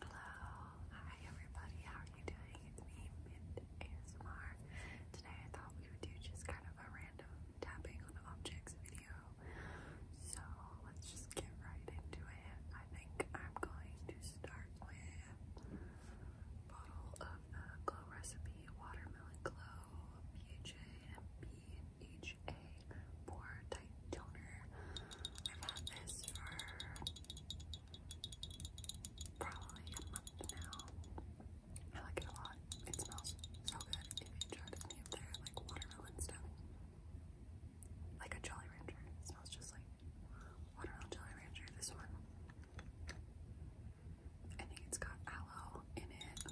Hello, hi everybody, how are you doing? It's me, Mint ASMR. Today I thought we would do just kind of a random tapping on objects video. So let's just get right into it. I think I'm going to start with a bottle of the Glow Recipe Watermelon Glow PHA MP HA Pore Type Toner. I've had this for probably a month now. I like it a lot. It smells so good. If you tried any of their like watermelon stuff, like a Jolly Rancher, it smells just like watermelon Jolly Rancher. This one, I it's got aloe in it.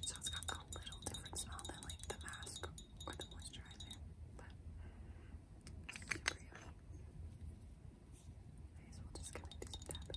So it's got a little different smell than like the mask or the moisturizer, but super yummy. I guess we'll just kind of do some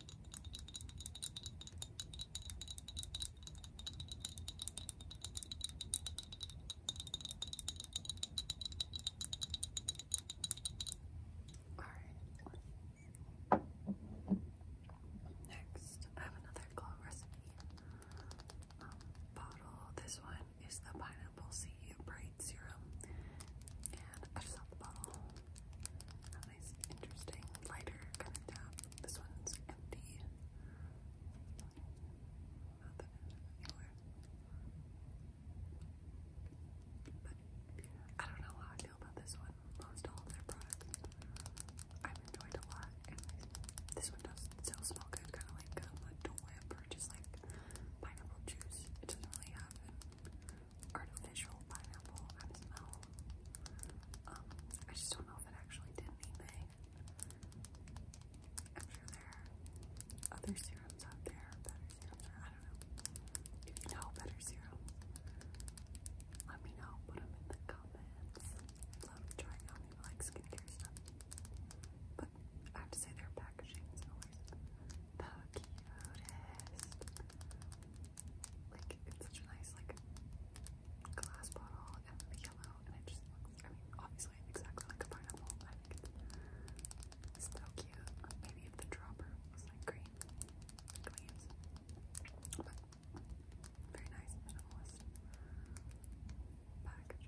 All right. Next, I have another glow recipe um, bottle. This one is the pineapple sea bright serum, and I the bottle interesting, lighter kind of tap. This one's empty. But I don't know how I feel about this one. Most all of their products I've enjoyed a lot. this one does still smell good, kind of like um, a Dole or just like pineapple juice. It doesn't really have artificial pineapple smell. Um, I just don't know if it actually did anything. i there other serums out there, better serums, I don't know. If you know better serums, let me know. Put them in the comments. Love trying on you like skincare stuff. But I have to say their packaging is always the cutest. Like it's such a nice like glass bottle and yellow and it just looks I mean obviously exactly like a pineapple, I think it's so cute. Maybe if the dropper was like green leaves. But very nice minimalist packaging.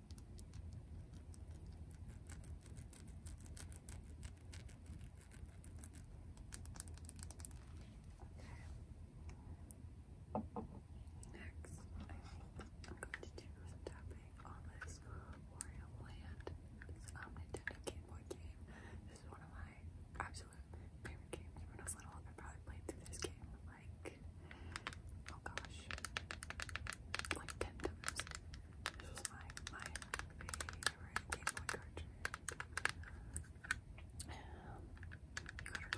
Next, I am going to do some tapping on this Wario Land. This um, Nintendo Game Boy game. This is one of my absolute favorite games. When I was little, I probably played through this game like, oh gosh, like 10 times. This was my, my favorite Game cartridge. gotta um,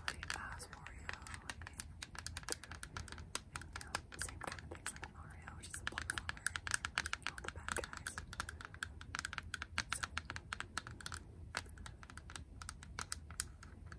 play as like, same kind of things like Mario, which is a platformer, and you know, the bad guys.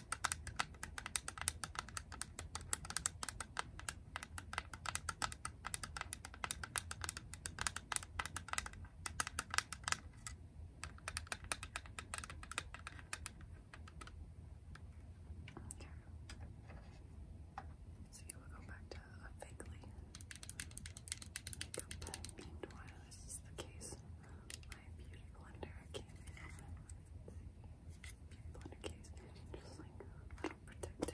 See, you will go back to a vaguely like a beamed This is the case my Beauty Blender case. Beauty Blender case. Just like a little protective plastic.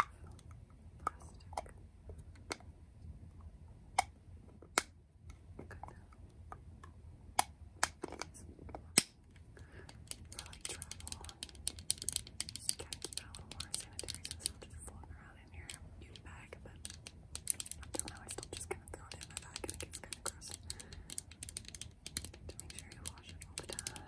Kind of like travel on. Just gotta keep it a little more sanitary so it's not just floating around in your beauty bag, but I don't know, I still just kind of throw it in my bag and it gets kind of gross. To make sure you wash it all the time.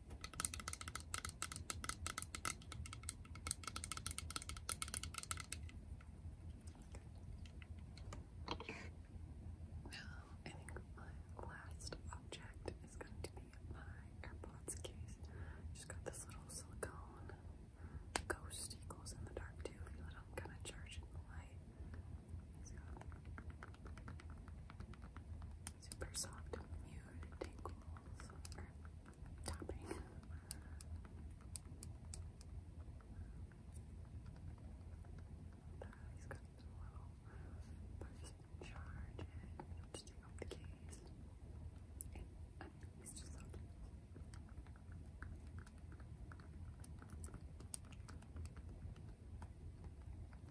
Now, I think my last object is going to be my AirPods case. Just got this little silicone ghost. He in the dark too. If you let him kind of charge the light super soft mute tingles or tapping. He's got this little person in charge and just take the case. And just so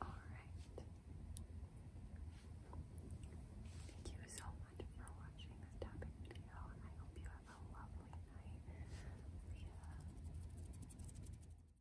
All right. Thank you so much for watching this tapping video, I hope you have a lovely night. Yeah.